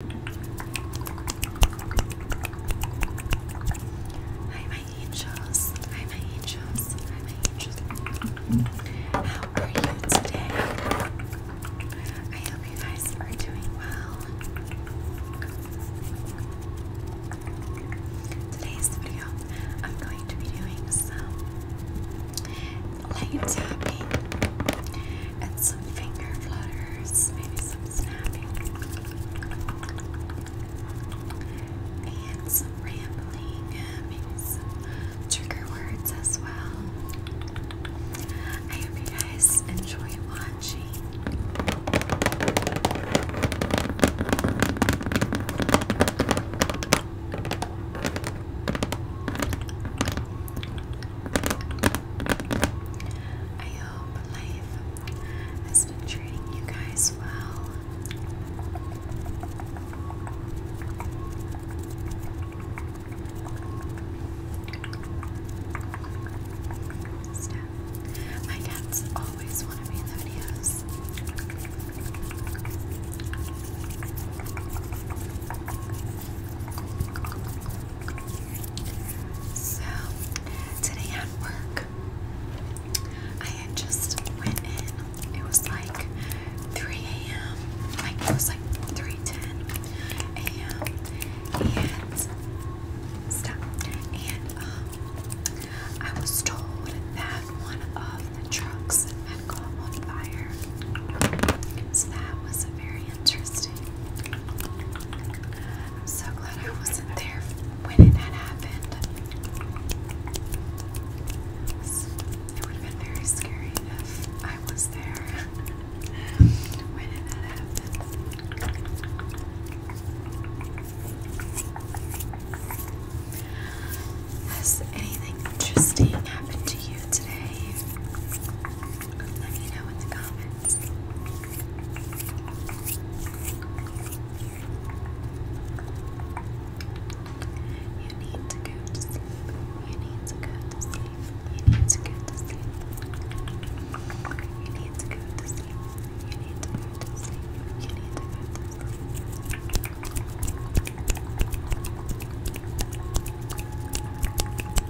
Hi, my angels. Hi, my angels. Hi, my angels. How are you today? I hope you guys are doing well. Today's video, I'm going to be doing some light tapping and some finger flutter maybe some snapping, and some rambling, maybe some trigger words as well. I hope you guys enjoy watching. I hope life has been treating you guys well. my cats always want to be in the videos. So, today at work, I had just went in. It was like 3 a.m. Like, it was like 3.10 a.m. And, stop. And, um, I was told that one of the trucks had caught on fire. So that was very interesting. I'm so glad I wasn't there when it had happened. It would have been very scary if I was there when it had happened. Has anything interesting happened to you today? Let me know in You need to go You need to go You need to go You need to go You need to go You need to go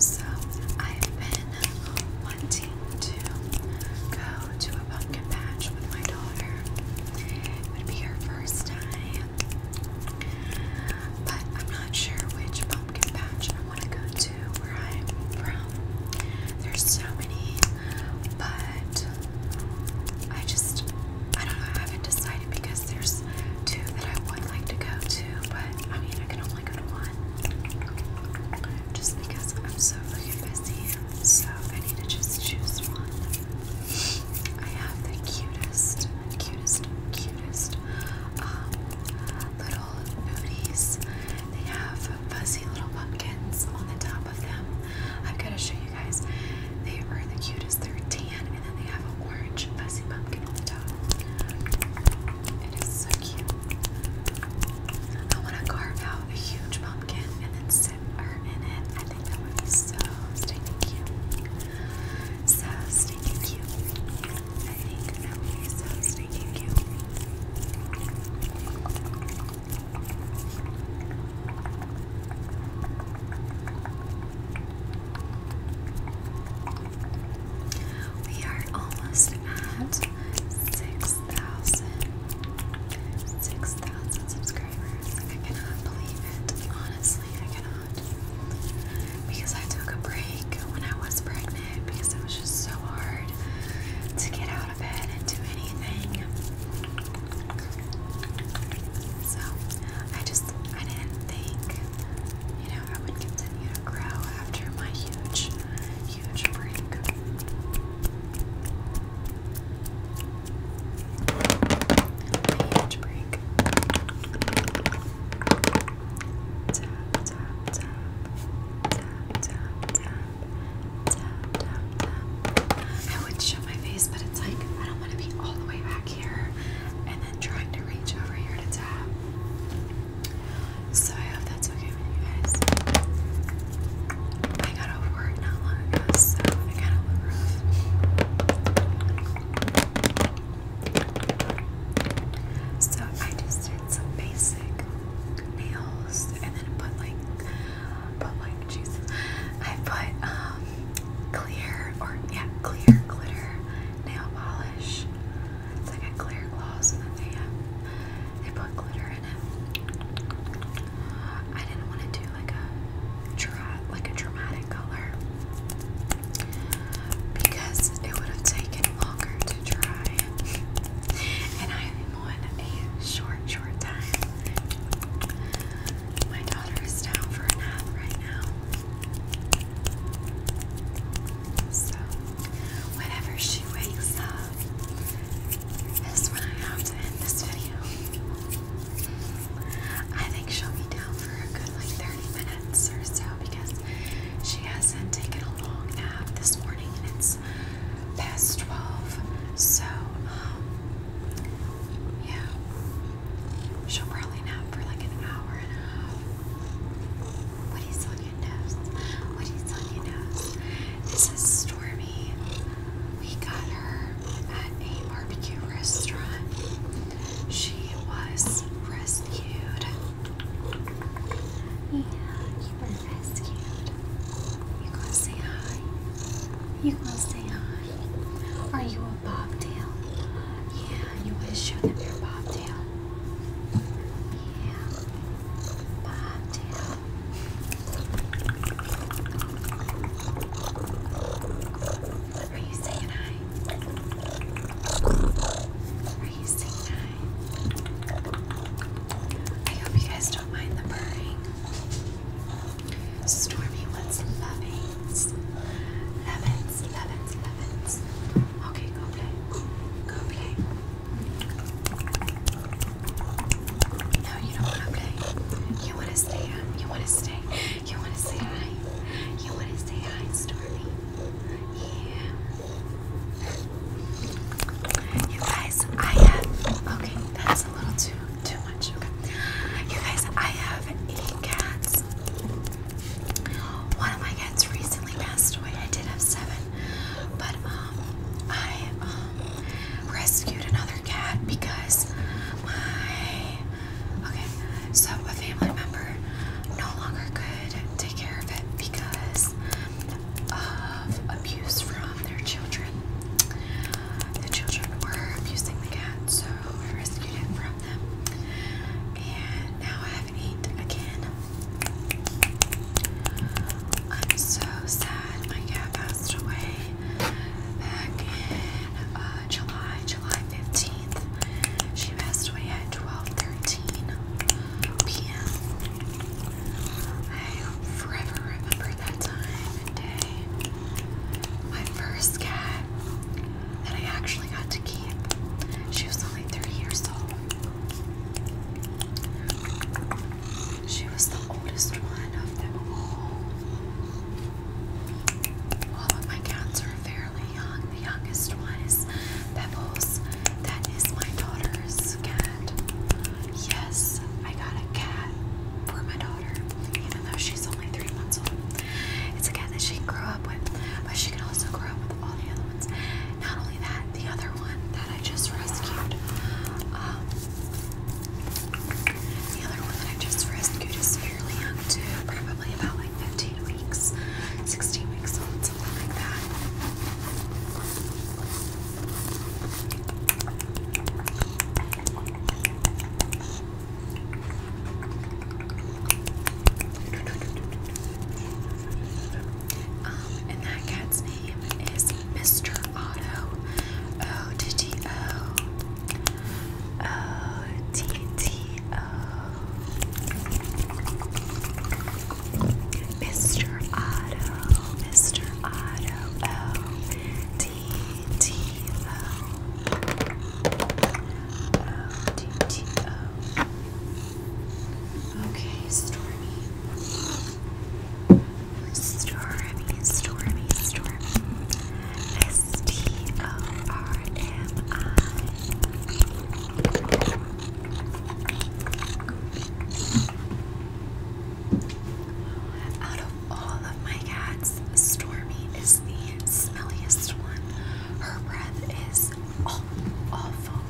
So, I've been wanting to go to a pumpkin patch with my daughter. It would be her first time. But I'm not sure which pumpkin patch I want to go to where I'm from. There's so many, but I just, I don't know, I haven't decided because there's two that I would like to go to, but I mean, I can only go to one just because I'm so freaking busy. So I need to just choose one. I have the cutest, cutest, cutest um, little booties. They have fuzzy little pumpkins on the top. I've got to show you guys. They are the cutest. They're tan and then they have an orange fuzzy pumpkin on the top. It is so cute. I want to carve out a huge pumpkin and then sit her in it. I think that would be so stinking cute. So stinking cute. I think that would be so stinking cute. We are almost at 6,000 subscribers. I cannot believe it. Honestly, I cannot. Because I took a break when I was pregnant because it was just so hard to get out I of bed do anything. So I just I didn't think, you know, I would continue to grow after my huge, huge break. My huge break. Tap, tap, tap, tap, tap, tap. I would show my face, but it's like I don't want to be all the way back here and then trying to reach over here to tap. So I hope that's okay with you guys. I got over it not long ago, so I got a little rough. So I just did some basic nails, and then put like, put like, Jesus, I put um, clear or yeah, clear glitter nail polish. It's like a clear gloss, and then they um, they put glitter in it. I didn't want to do like a like a dramatic color because it would have taken longer to dry, and I on short, short time. My daughter is down for a nap right now. So, whenever she wakes up, is when I have to end this video. I think she'll be down for a good like 30 minutes or so because she hasn't taken a long nap this morning and it's past 12. So, um, yeah. She'll probably nap for like an hour and a half. What is on your nose. What is on your nose. This is Stormy. We got her at a barbecue restaurant. She was rescued. Yeah, you gonna say hi? You gonna say hi? Are you a bobtail? Yeah, you wanna show them your bobtail? Yeah, bobtail. Are you saying hi? I hope you guys don't mind the purring. Stormy wants lovings. Lovins, lovins, lovins. Okay, go play. Go play. No, you don't want to play. You want to stay up. You want to stay. You want to say You want to stay? hi, Stormy. Yeah. You guys, I have okay, that's a little too too much. Okay. You guys, I have eight cats. One of my cats recently passed away. I did have seven, but um I um, rescued another cat because my okay, so a family member no longer could take care of it because of abuse from their children. The children were abusing the cat, so I rescued it from them. And now I have eight again. I'm so sad my cat passed away back in uh, July, July 15th. She passed away at 12:13 p.m. i forever remember that time and day. My first cat that I actually got to keep. She was only three years old. She was the oldest one of them all. All of my cats are fairly young the youngest one is Pebbles. That is my daughter's cat. Yes, I got a cat for my daughter, even though she's only three months old. It's a cat that she can grow up with, but she can also grow up with all the other ones. Not only that, the other one that I just rescued, um, the other one that I just rescued is fairly young too, probably about 15 weeks, 16 weeks old, something like that. Um, and that cat's name is Mr. Otto. O T T O. O T T O. Mr. Otto, Mr. Otto, O D T O, O D T O. Okay, Stormy, Stormy, Stormy, Stormy. S T O R M I. Out of all of my cats, Stormy is the smelliest one. Her breath is awful.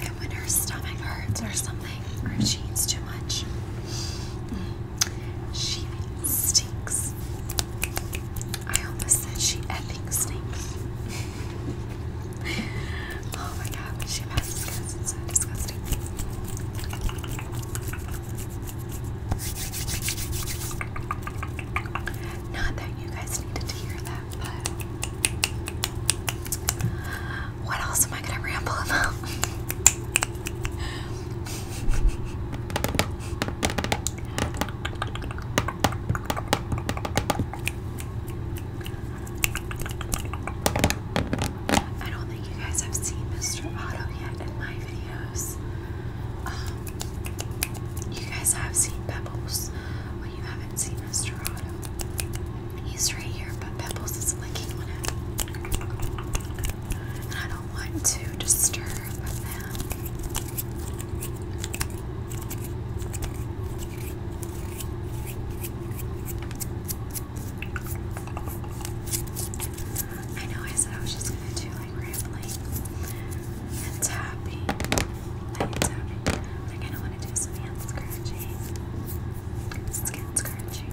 And when her stomach hurts or something, or if she eats too much, mm, she stinks. I almost said she effing stinks. oh my god, she passes gas, it's so disgusting. Not that you guys needed to hear that, but what else am I gonna ramble about? I don't think you guys have seen Mr. Otto yet in my videos. Um, you guys have seen Pebbles, but you haven't seen Mr. Otto. He's right here, but Pebbles is licking on I don't want to disturb them. I know I said I was just gonna do like rambling and tapping, like tapping. I don't want to do some hand scratching, skin scratching.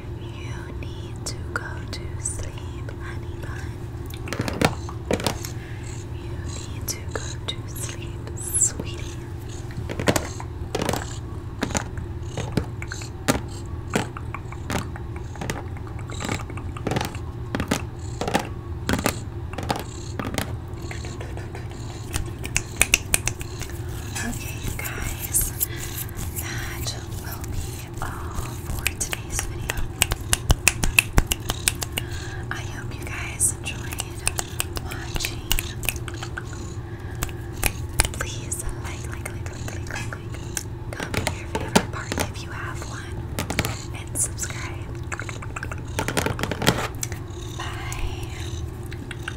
You need to go to sleep, honey bun. You need to go to sleep, sweetie. Okay, guys, that will be all for today's video. I hope you guys enjoyed watching. Please like, like, like, like, like, like. Comment your favorite part if you have one, and subscribe. Bye.